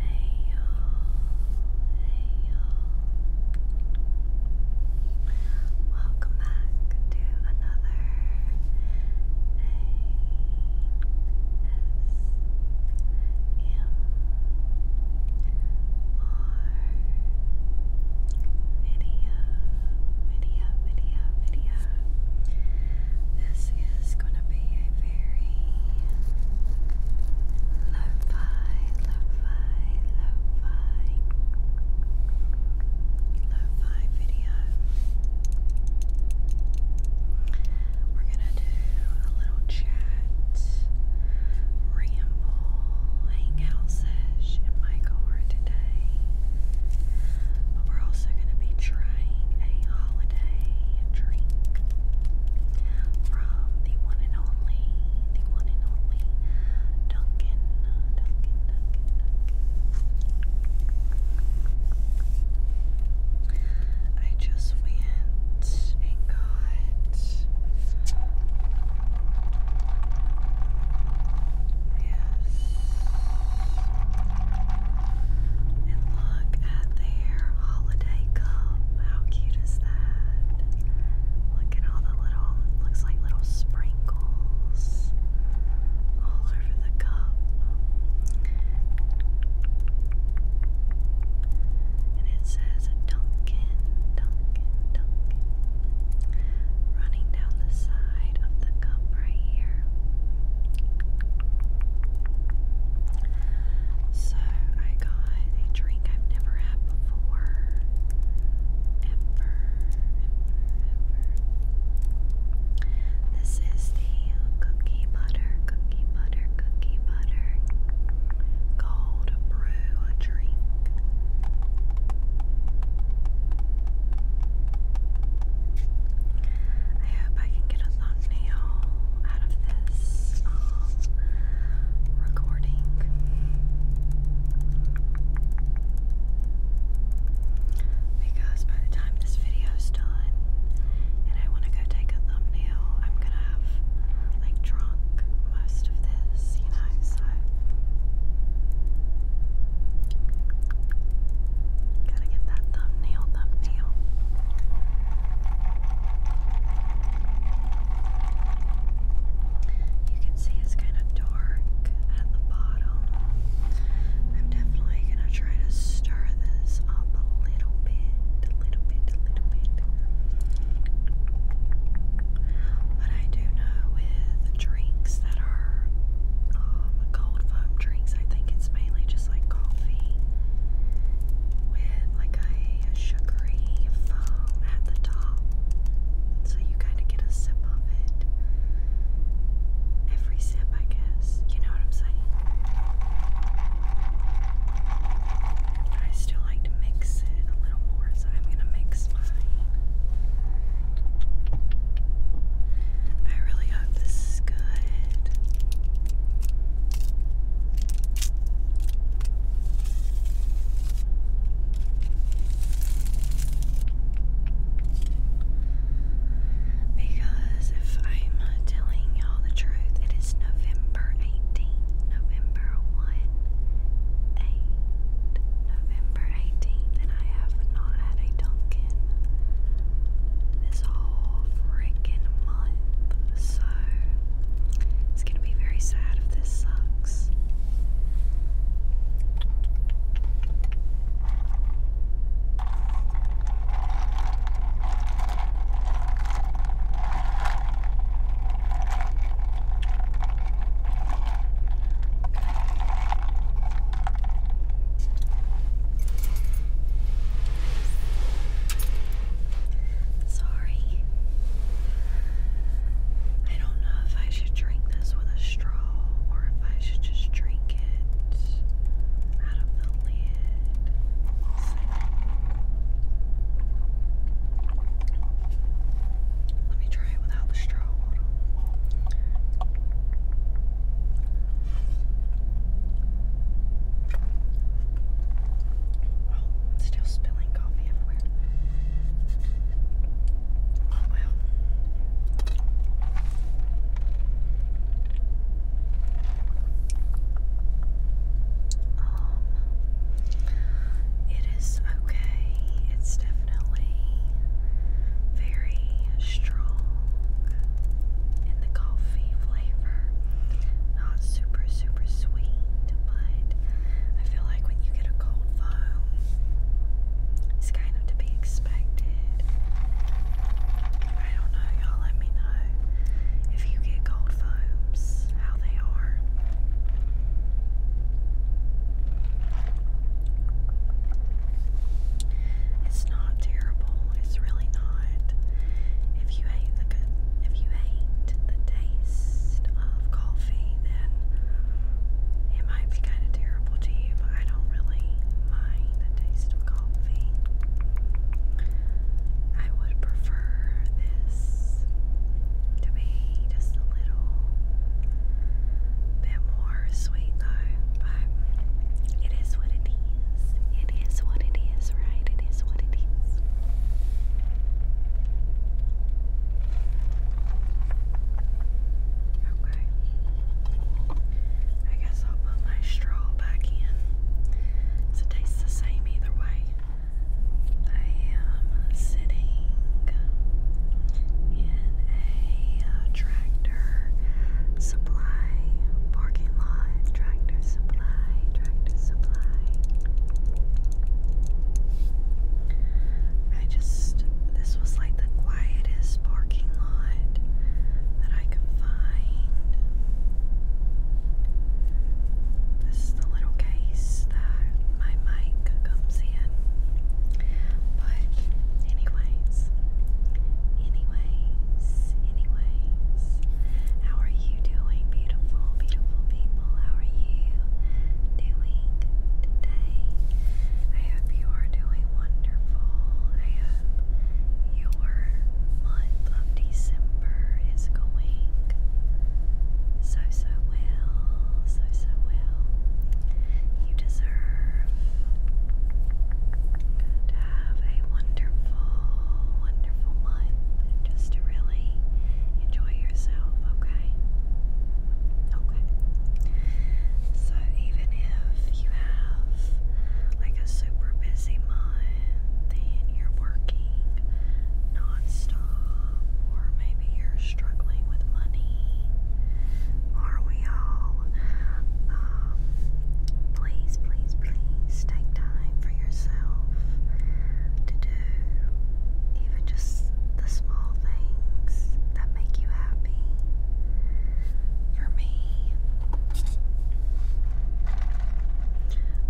Hey you hey you Welcome back to another ASMR video, video, video, video, yeah, this is going to be a very lo-fi, lo-fi, lo-fi, lo-fi video. We're going to do a little chat, ramble, hangout sesh, and Michael are today holiday. But we're also going to be trying a holiday drink from the one and only, the one and only Duncan. Duncan, Duncan, I just went and got. Yes. And look at their holiday cup. How cute is that? Look at all the little, looks like little sprinkles all over the cup. And it says Duncan, Duncan, Duncan. Running down the side side of the cup right here. So I got a drink I've never had before. Ever, ever, ever. This is the cookie butter, cookie butter, cookie butter cold brew drink. I hope I can get a thumbnail out of this um, recording. Because by the time this video done and I want to go take a thumbnail, I'm going to have like drunk most of this, you know, Gotta get that thumbnail, thumbnail. You can see it's kind of dark at the bottom. I'm definitely gonna try to stir this up a little bit, a little bit, a little bit. But I do know with drinks that are um, cold foam drinks. I think it's mainly just like coffee with like a, sugary foam at the top. So you kind of get a sip of it. Every sip, I guess. You know what I'm saying? I still like to mix it a little more, so I'm going to mix mine. I really hope this is good. Because if I'm telling y'all the truth, it is November 18th, November 1, 8, November November 18th, and I have not had a Dunkin' this whole freaking month, so it's gonna be very sad if this sucks. Sorry. I don't know if I should drink this with a straw or if I should just drink it out of the lid. Let me try it without the straw. Oh, still spilling coffee everywhere. Oh well. Um, it is okay. It's definitely very strong in the coffee flavor. Not super, super sweet, but I feel like when you get a cold foam, it's kind of to be expected. I don't know, y'all let me know if you get cold foams, how they are. It's not terrible. It's really not. If you hate the if you hate the taste of coffee, then it might be kind of terrible to you. I don't really mind the taste of coffee. I would prefer this to be just a little bit more more sweet though, but it is what it is. It is what it is, right? It is what it is. Okay. I guess I'll put my straw back in. it tastes the same either way. I am sitting in a uh, tractor supply parking lot, tractor supply, tractor supply. I just, this was like the quietest parking lot that I could find. This is the little case that my mic comes in. But anyways, anyways, anyways, how are you doing, beautiful, beautiful people? How are you doing today? I hope you are doing wonderful. I hope your month of December is going so so well, so so well. You deserve deserve to have a wonderful, wonderful month just to really enjoy yourself, okay? Okay. So, even if you have like a super busy month and you're working non or maybe you're struggling with money, are we all? um, please, please, please take time for yourself to do even just the small things that make you happy. For me,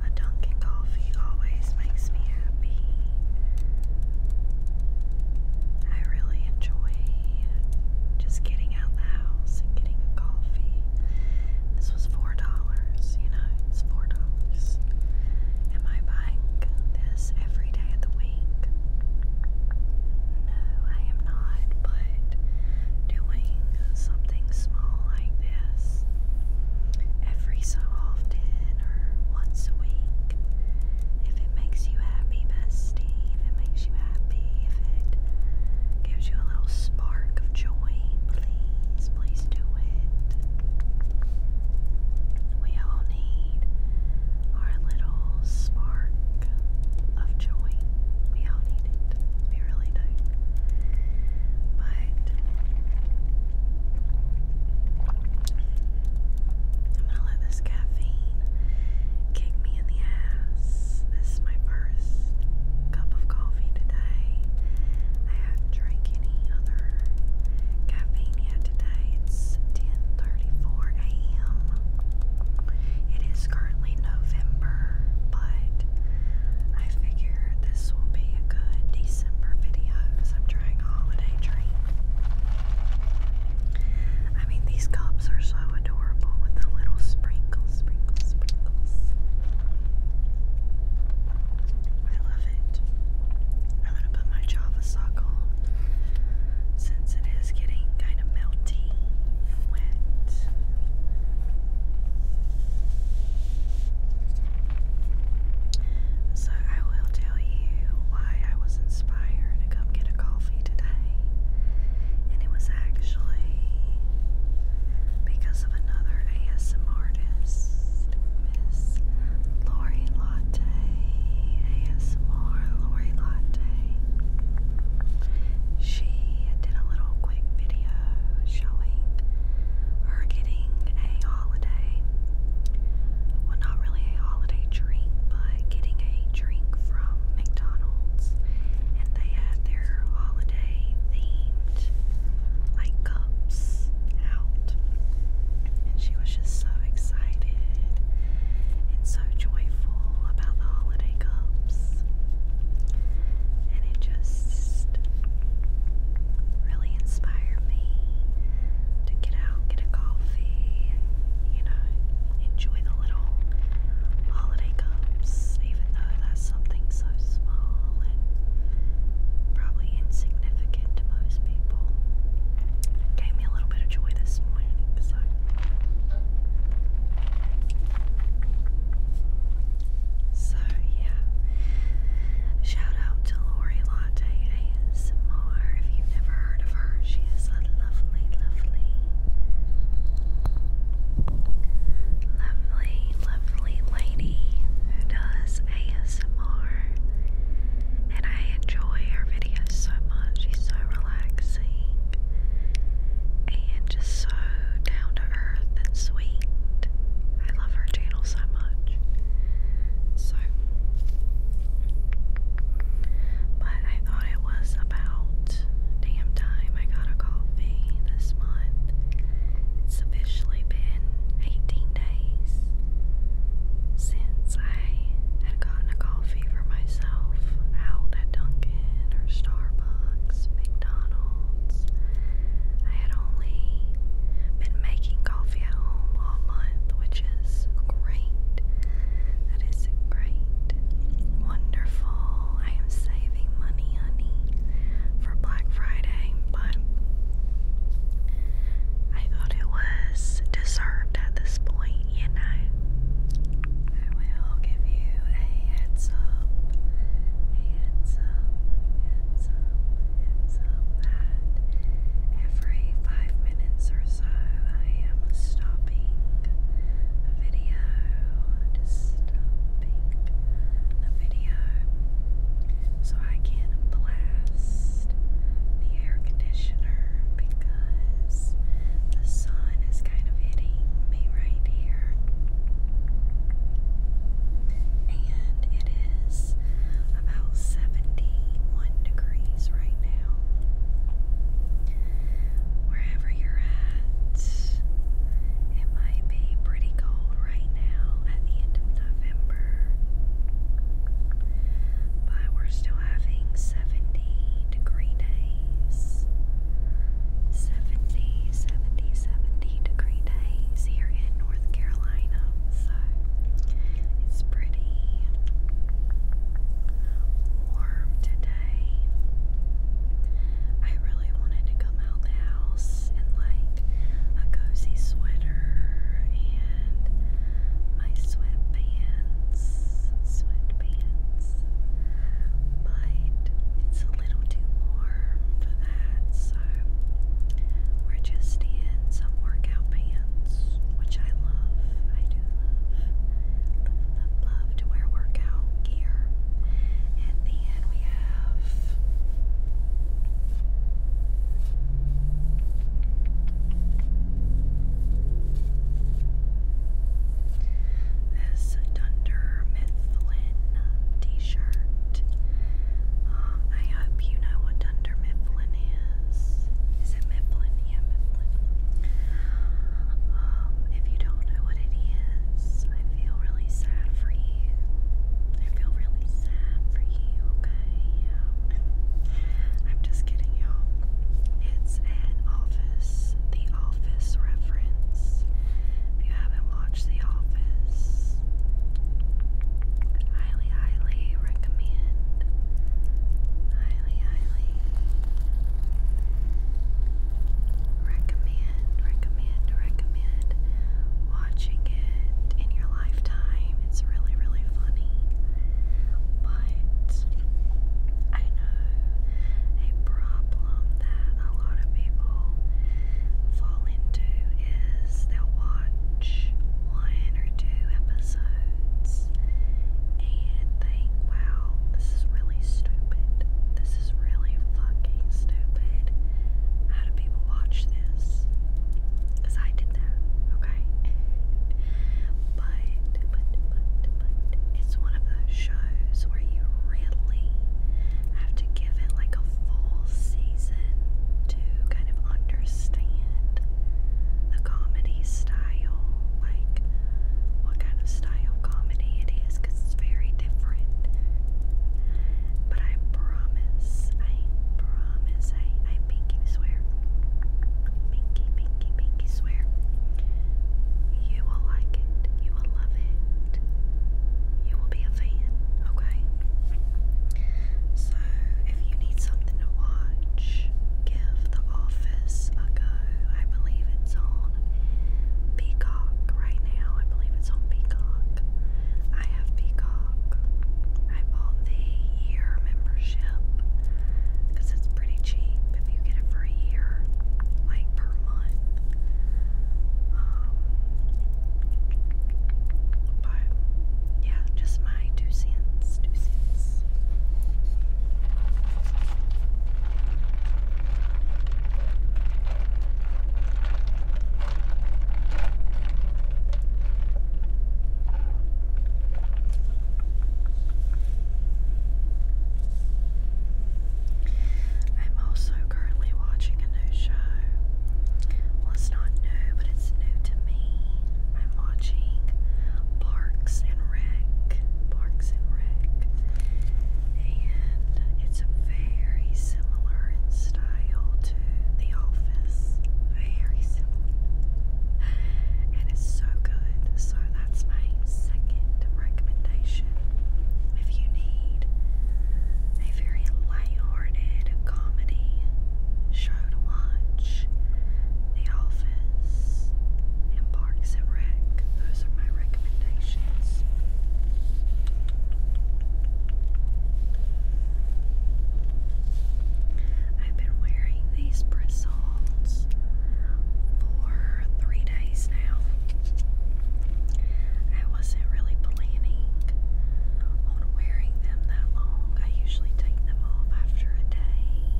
a Dunkin' coffee always makes me happy. I really enjoy just getting out the house and getting a coffee. This was $4, you know, it's $4. Am I buying this every day of the week? No, I am not, but doing something small like this every so often or once a week, if it makes you happy, bestie, if it makes you happy, if it gives you a little spark of joy, please, please do it. We all need our little spark of joy. We all need it. We really do. But I'm gonna let this caffeine kick me this is my first cup of coffee today. I haven't drank any other caffeine yet today. It's 10:34 a.m. It is currently November, but I figure this will be a good December video because I'm trying a holiday treat. I mean, these cups are so adorable with the little sprinkles, sprinkles, sprinkles. I love it. I'm gonna put my Java sock on since it is getting kind of melty and wet. So, I will tell you why I was inspired to come get a coffee today, and it was actually because of another ASM artist, Miss Lori Latte, ASMR Lori Latte. She did a little quick video showing her getting a holiday. Well, not really a holiday drink, by getting a drink from McDonald's, and they had their holiday themed like cups out, and she was just so excited and so joyful about the holiday cups, and it just really inspired me to get out, get a coffee, you know enjoy the little holiday cups, even though that's something so small and probably insignificant to most people. gave me a little bit of joy this morning, so. So, yeah. Shout out to Lori Latte ASMR. If you've never heard of her, she is lovely, lovely. Lovely, lovely lady who does ASMR. And I enjoy her videos so much. She's so relaxing and just so down to earth and sweet. I love her channel so much. So, but I thought it was about damn time I got a coffee this month. It's officially been 18 days since I had gotten a coffee for myself out at Dunkin' or Starbucks, McDonald's. I had only been making coffee at home all month, which is great. That is great. Wonderful. I am saving money, honey, for Black Friday, but I thought it was deserved at this point, you know. I will give you a heads up, heads up, heads up, heads up every five minutes or so I am stopping a video stopping the video so I can blast the air conditioner because the sun is kind of hitting me right here. And it is about 71 degrees right now. Wherever you're at, it might be pretty cold right now at the end of November, but we're still having 70 degree days. 70, 70, 70 degree days here in North Carolina, so it's pretty warm today. I really wanted to come out the house in like a cozy sweater and my sweatpants, sweatpants, but it's a little too warm for that, so we're just in some workout pants, which I love. I do love, love, love, to wear workout gear. And then we have this Dunder Mifflin t-shirt. Um, I hope you know what Dunder Mifflin is. Is it Mifflin? Yeah, Mifflin. Um, if you don't know what it is, I feel really sad for you. I feel really sad for you, okay? I'm just kidding, y'all. It's an office, the office reference. If you haven't watched The Office, highly, highly recommend. Highly, highly recommend, recommend, recommend watching it in your lifetime. It's really, really funny. But I know a problem that a lot of people fall into is they'll watch one or two episodes and wow, this is really stupid. This is really fucking stupid. How do people watch this? Because I did that, okay? but, but, but, but, it's one of those shows where you really have to give it like a full season to kind of understand the comedy style, like what kind of style comedy it ideas because it's very different. But I promise, I promise, I, I pinky swear, pinky, pinky, pinky swear, you will like it, you will love it, you will be a fan, okay? So, if you need something to watch, give The Office a go. I believe it's on Peacock right now. I believe it's on Peacock. I have Peacock. I bought the year membership because it's pretty cheap if you get it for a year, like per month. Um, but yeah, just my two cents. Two cents. I'm also currently watching a new show. Well, it's not new, but it's new to me. I'm watching Parks and Rec. Parks and Rec and it's very similar in style to The Office. Very similar. And it's so good. So that's my second recommendation. If you need a very light comedy show to watch, The Office, and Parks Those are my recommendations. I've been wearing these bristles for three days now. I wasn't really planning on wearing them that long. I usually take them off after a day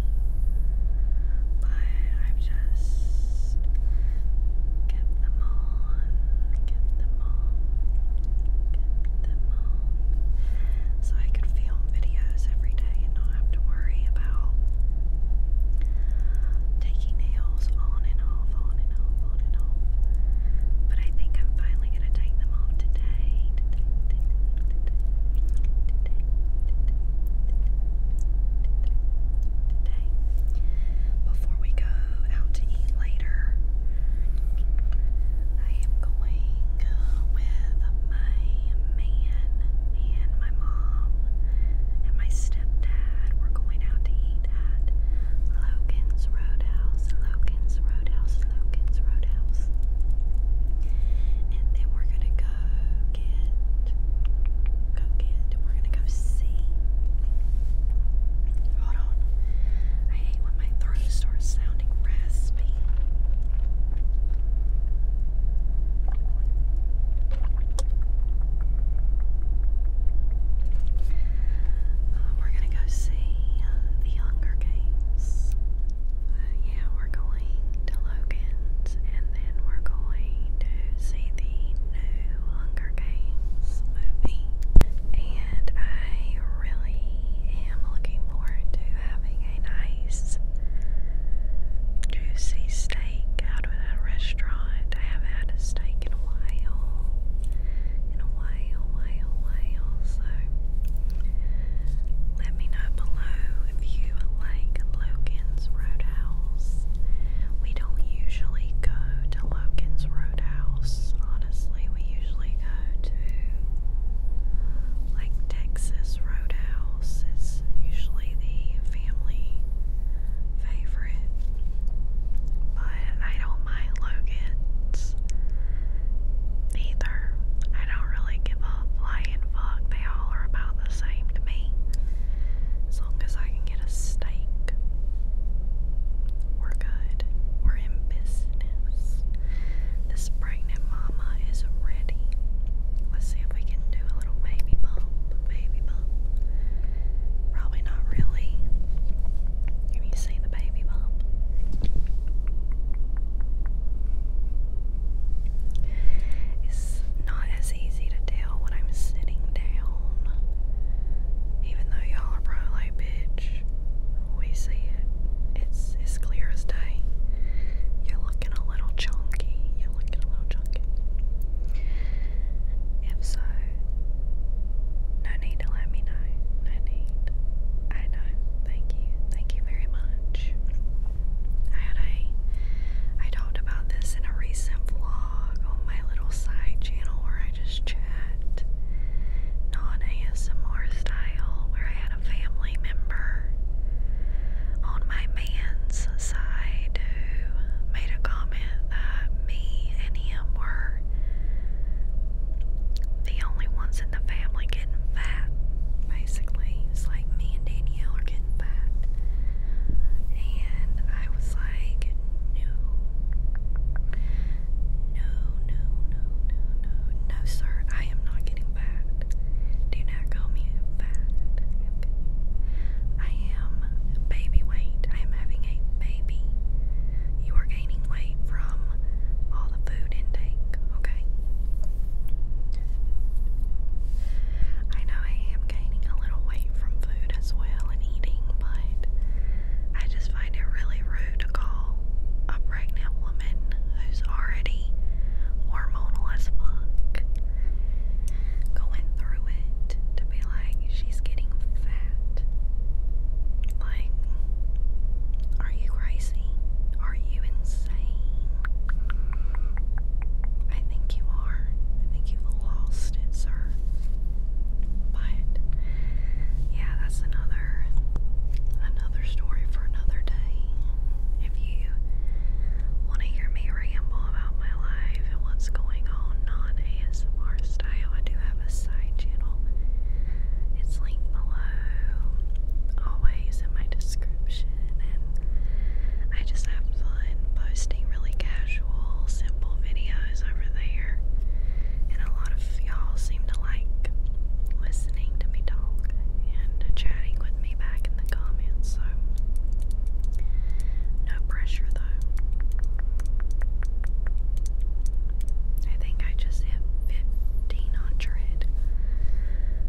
but I've just kept them on, kept them on, kept them on, so I could film videos every day and not have to worry about taking nails on and off, on and off, on and off. But I think I'm finally gonna take them off today today before we go out to eat later. I am going uh, with my man and my mom and my stepdad. We're going out to eat at Logan's Roadhouse, Logan's Roadhouse, Logan's Roadhouse. And then we're going to go get, go get, we're gonna go see. Hold on. I hate when my throat starts sounding raspy. Uh, we're gonna go see uh, the Hunger Games. Uh, yeah, we're going to Logan's and and then we're going to see the new Hunger Games movie. And I really am looking forward to having a nice juicy steak out of that restaurant. I haven't had a steak in a while. In a while, while, while. So let me know below if you like Logan's Roadhouse. We don't usually go to Logan's Roadhouse, honestly. We usually go to like Texas Roadhouse, it's usually the family favorite. But I don't mind Logan's either. I don't really give a flying fuck. They all are about the same to me. As long as I can get a steak. We're good. We're in business. This pregnant mama is ready. Let's see if we can do a little baby bump. Baby bump. Probably not really. Can you see the baby bump? It's not as easy to do when I'm sitting down. Even though y'all are probably bitch, we see it. It's as clear as day. You're looking a little chunky. You're looking a little chunky. If so, no need to let me know. No need. I know. Thank you. Thank you very much. I had a I talked about this in a recent vlog vlog on my little side channel where I just chat, non ASMR style, where I had a family member on my man's side who made a comment that me and him were the only ones in the family getting fat, basically. It's like me me Danielle are getting fat. And I was like, no. No, no, no, no, no. No, sir, I am not getting fat. Do not call me fat. I am baby weight. I am having a baby. You are gaining weight from all the food intake, okay? I know I am gaining a little weight from food as well and eating, but I just find it really rude to call a pregnant woman who's already hormonal as fuck going through it to be like, she's getting fat. Like, are you crazy? Are you insane? I think you are. I think you've lost it, sir. But yeah, that's another another story for another day. If you want to hear me ramble about my life and what's going on non-ASMR style, I do have a side channel. It's linked below, always in my description, I just have fun posting really casual, simple videos over there. And a lot of y'all seem to like listening to me talk and chatting with me back in the comments, so no pressure though. I think I just hit 1500.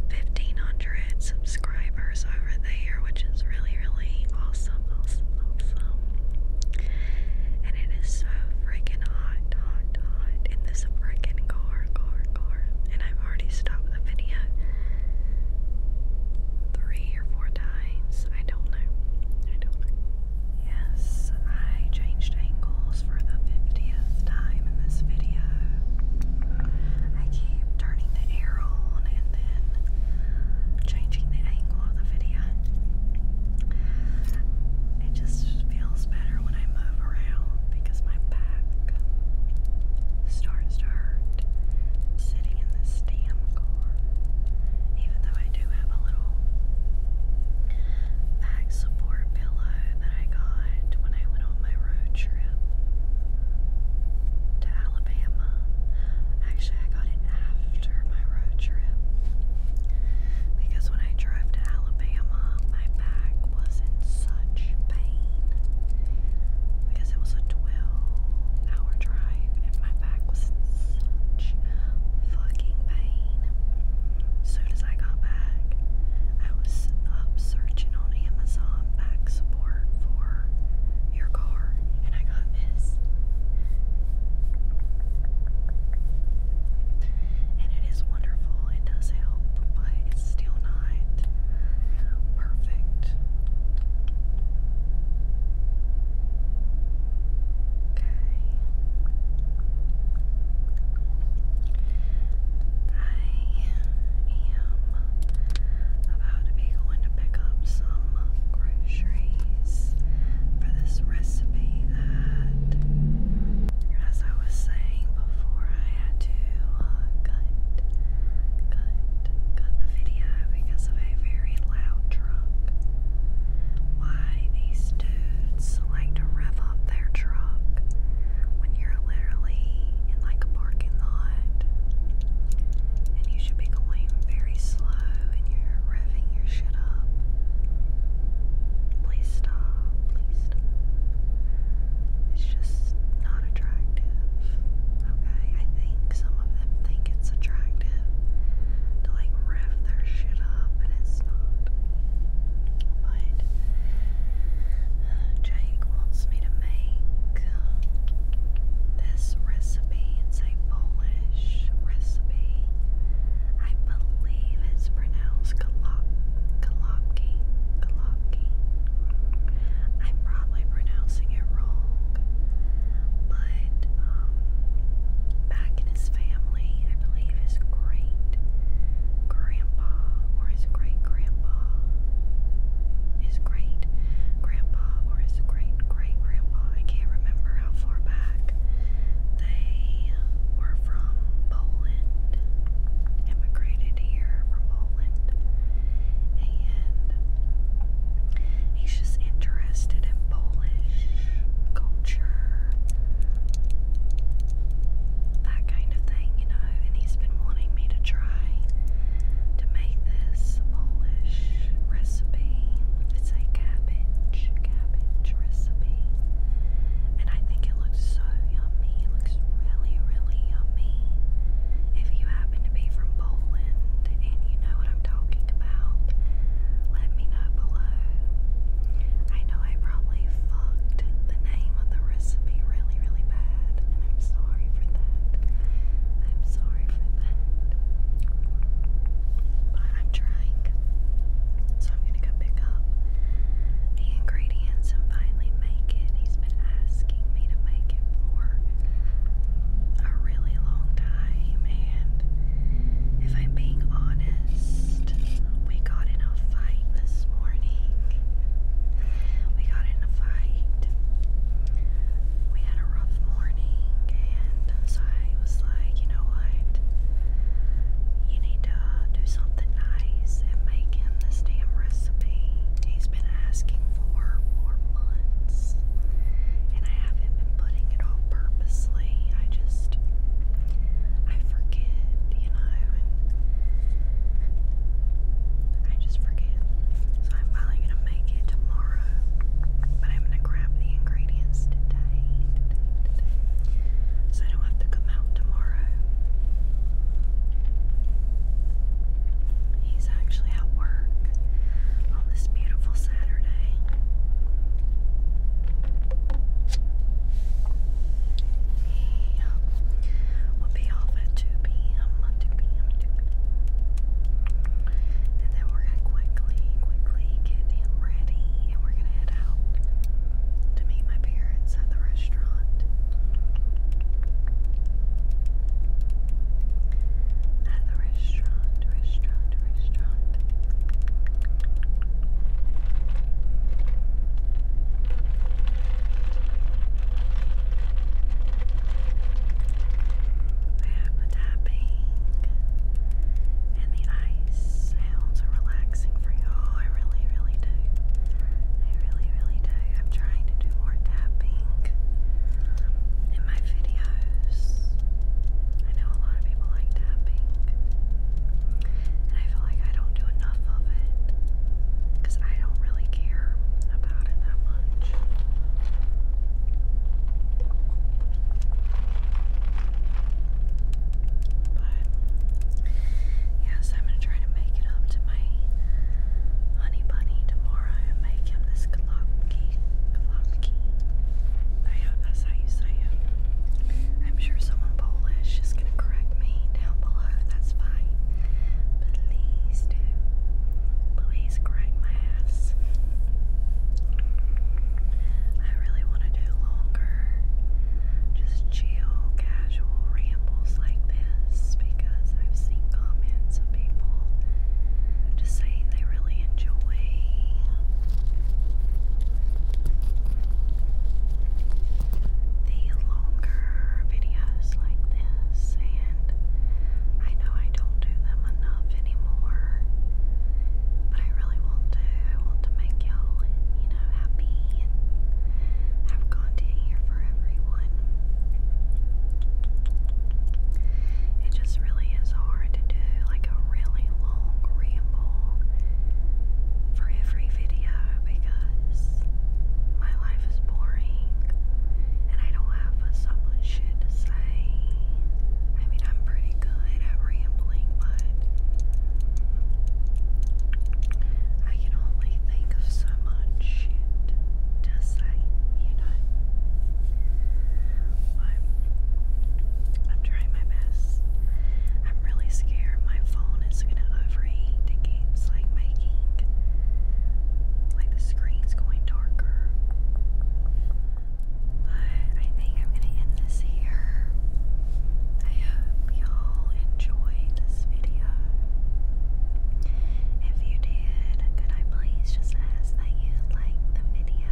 1500 subscribers over there, which is really, really awesome, awesome, awesome. And it is so freaking hot, hot, hot in this freaking car, car, car. And I've already stopped the video three or four times. I don't know. I don't know. Yes, I changed angles for the 50th time in this video. I keep turning the air later on and then changing the angle of the video. It just feels better when I move around because my back starts to hurt sitting in this damn car. Even though I do have a little back support pillow that I got when I went on my road trip to Alabama. Actually, I got it after my road trip because when I drove to Alabama, my back was in such pain because it was a 12 hour drive and my back was such fucking pain. soon as I got back, I was up searching on Amazon back support for for your car, and I got this. And it is wonderful, it does help, but it's still not perfect. Okay. I am about to be going to pick up some groceries for this recipe that, as I was saying before, I had to uh, cut, cut, cut the video because of a very loud truck. Why these dudes like to rev up their truck when you're literally in like a parking parking and you should be going very slow and you're revving your shit up. Please stop, please It's just not attractive. Okay, I think some of them think it's attractive to like rev their shit up, and it's not. But uh, Jake wants me to make uh, this recipe a Polish recipe. I believe it's pronounced galop, galopki, galopki. I'm probably pronouncing it wrong, but um, back in his family, I believe his great grandpa or his great grandpa, his great grandpa or his great great grandpa, I can't remember how far back, they were from Poland, immigrated here from Poland, and he's just interested in Polish culture, that kind of thing, you know, and he's been wanting me to try to make this Polish recipe. It's a cabbage, cabbage recipe. And I think it looks so yummy. It looks really, really yummy. If you happen to be from Poland and you know what I'm talking about, let me know below. I know I probably fucked the name of the recipe really, really bad, and I'm sorry for that. I'm sorry sorry for But I'm trying. So I'm going to go pick up the ingredients and finally make it. He's been asking me to make it for a really long time. And if I'm being honest, we got in a fight this morning. We got in a fight. We had a rough morning morning, and so I was like, you know what? You need to do something nice and make him this damn recipe he's been asking for for months, and I haven't been putting it off purposely. I just I forget, you know, I just forget. So I'm finally gonna make it tomorrow tomorrow. But I'm gonna grab the ingredients today, so I don't have to come out tomorrow. He's actually at work on this beautiful Saturday. He um, will be off at 2 p.m. 2 2 p.m. And then we're going to quickly, quickly get him ready and we're going to head out to meet my parents at the restaurant. At the restaurant, restaurant, restaurant. I have the tapping and the ice sounds are relaxing for y'all. I really, really do. I really, really do. I'm trying to do more tapping in my videos. I know a lot of people like tapping, and I feel like I don't do enough of it because I don't really care about it that much. But yes, I'm gonna try to make it up to my honey bunny tomorrow and make him this glopki. Glopki. I hope that's how you say it. I'm sure someone Polish is gonna correct me down below. That's fine. Please do. Please correct my F's. I really want to do longer, just chill, casual rambles like this because I've seen comments of people just saying they really enjoy. The longer videos like this, and and I know I don't do them enough anymore. But I really want to. I want to make y'all, you know, happy and have content here for everyone. It just really is hard to do like a really long ramble for every video because my life is boring and I don't have so much shit to say. I mean, I'm pretty good at rambling, but I can only think of so much shit to say, you know. But I'm trying my best. I'm really scared my phone is gonna overheat. It like making like the screen's going darker. But I think I'm going to end this here. I hope y'all enjoyed this video. If you did, could I please just ask that you like the video?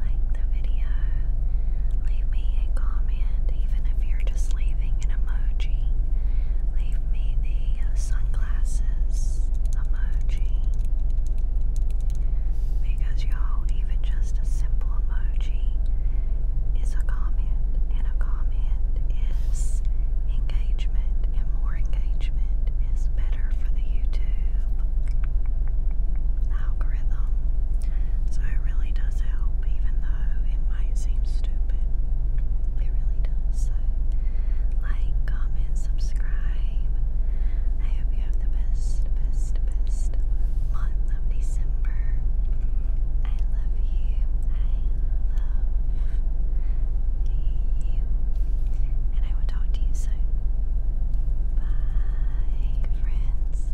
Like the video. Leave me a comment, even if you're just leaving an emoji. Leave me the sunglasses, emoji. Because y'all, even just a simple emoji is a comment, and a comment is engagement, and more engagement is better for the YouTube algorithm. So it really does help, even though it might seem stupid. It really does. So, like, comment, subscribe. I hope you have the best, best, best month of December. I love you. I love you. And I will talk to you soon. Bye, friends.